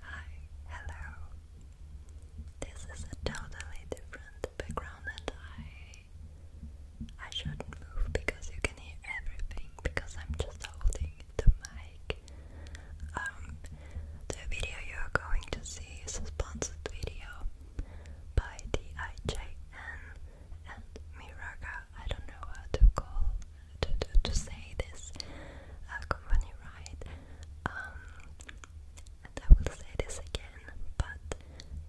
Hi, hello. This is a totally different background and I I shouldn't move because you can hear everything because I'm just holding the mic. Um, the video you're going to see is a sponsored video by D I J N and Miraga. I don't know how to call to, to, say this uh, company right. Um, and I will say this again, but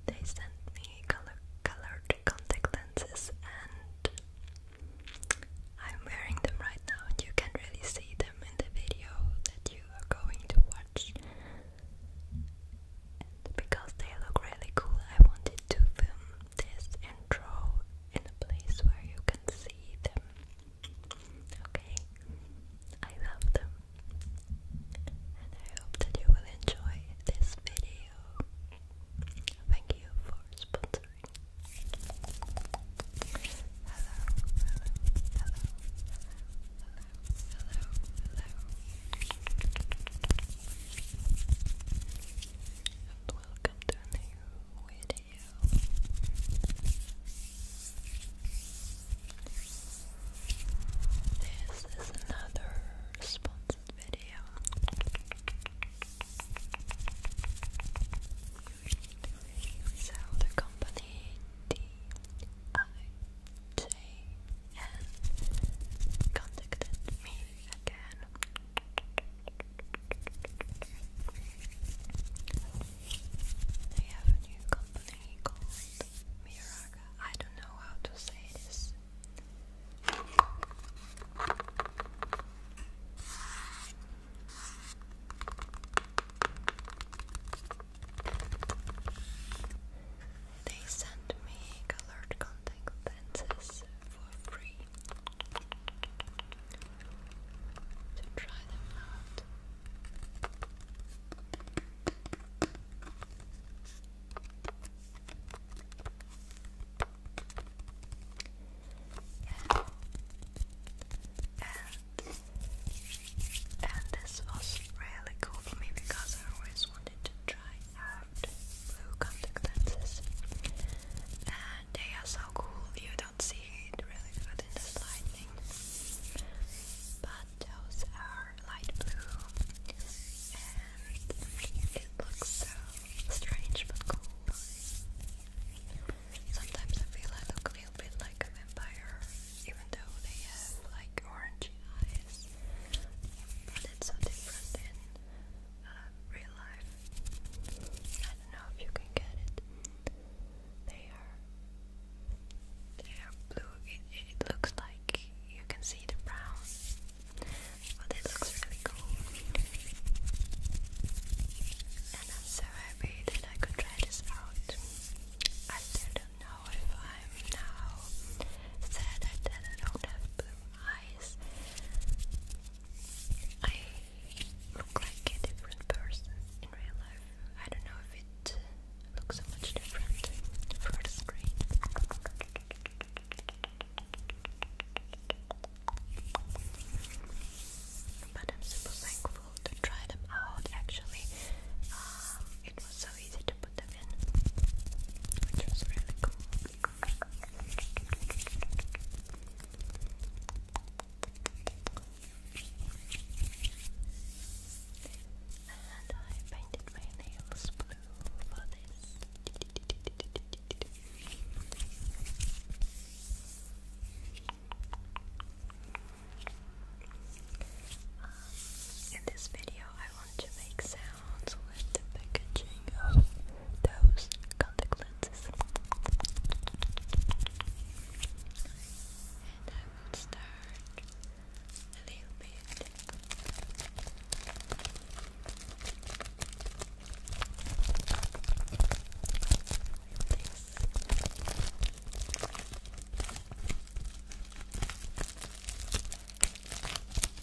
they sent me color, colored contact lenses, and I'm wearing them right now. you can really see them in the video that you are going to watch. And because they look really cool, I wanted to film this intro in a place where you can see them. Okay? I love them. And I hope that you will enjoy this video. Thank you for sponsoring. Hello, hello, hello, hello, hello, hello. And welcome to a new video you. This is another sponsored video. the company D I J N contacted me again they have a new company called Miraga. I don't know how to say this. They sent me colored contact lenses for free to try them out. And, and this was really cool for me because I always wanted to try out blue contact they are so cool. You don't see it really good in the lighting, but those are light blue, and it looks so strange but cool. Sometimes I feel I look a little bit like a vampire, even though they have like orange eyes, but it's so different um, real life. I don't know if you can get it. They are they are blue. It, looks like you can see the brown, but it looks really cool. And I'm so happy that I could try this out. I still don't know if I'm now sad that I don't have blue eyes, I look like a different person in real life. I don't know if it looks so much different for the screen. But I'm super thankful to try them out actually. Um, it was so easy to put them in, which was really cool. And I painted my nails blue for this. in this video, I want to make sounds with packaging of those contact lenses. And I will start a little bit.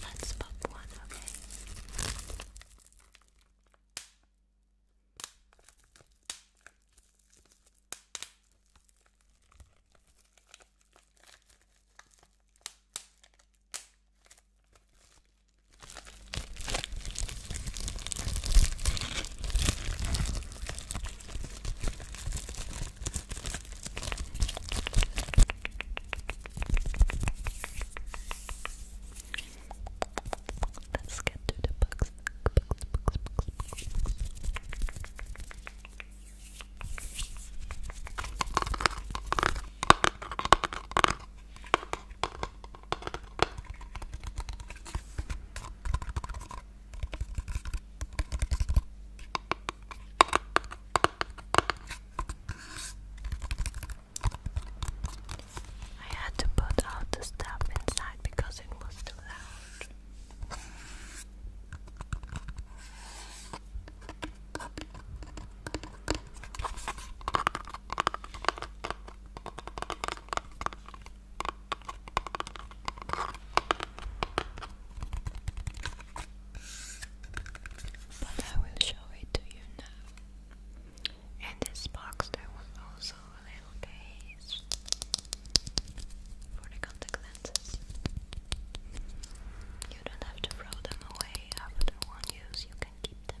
Let's pop one, okay? Let's get to the books. books, books, books, books, books. I had to put out the stuff inside because it was too loud. But I will show it to you now. In this box, there was also a little case for the contact lenses. You don't have to throw them away after one use, you can keep them.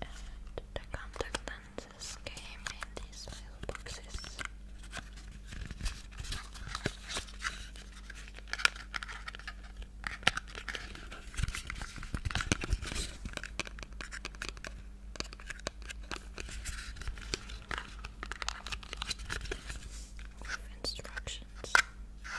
And the contact lenses in these little instructions.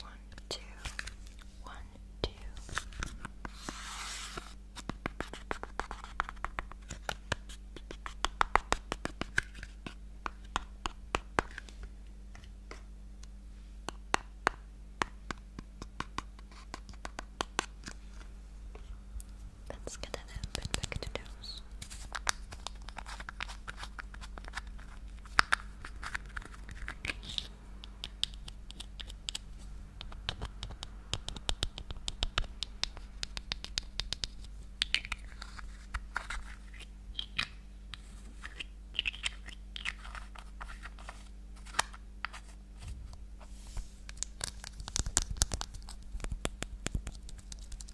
One, two, one, two. Let's get and then put back the toes.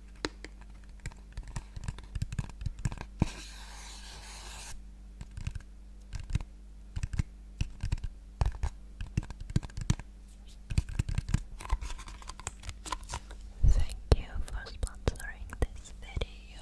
Thank you for sponsoring this video.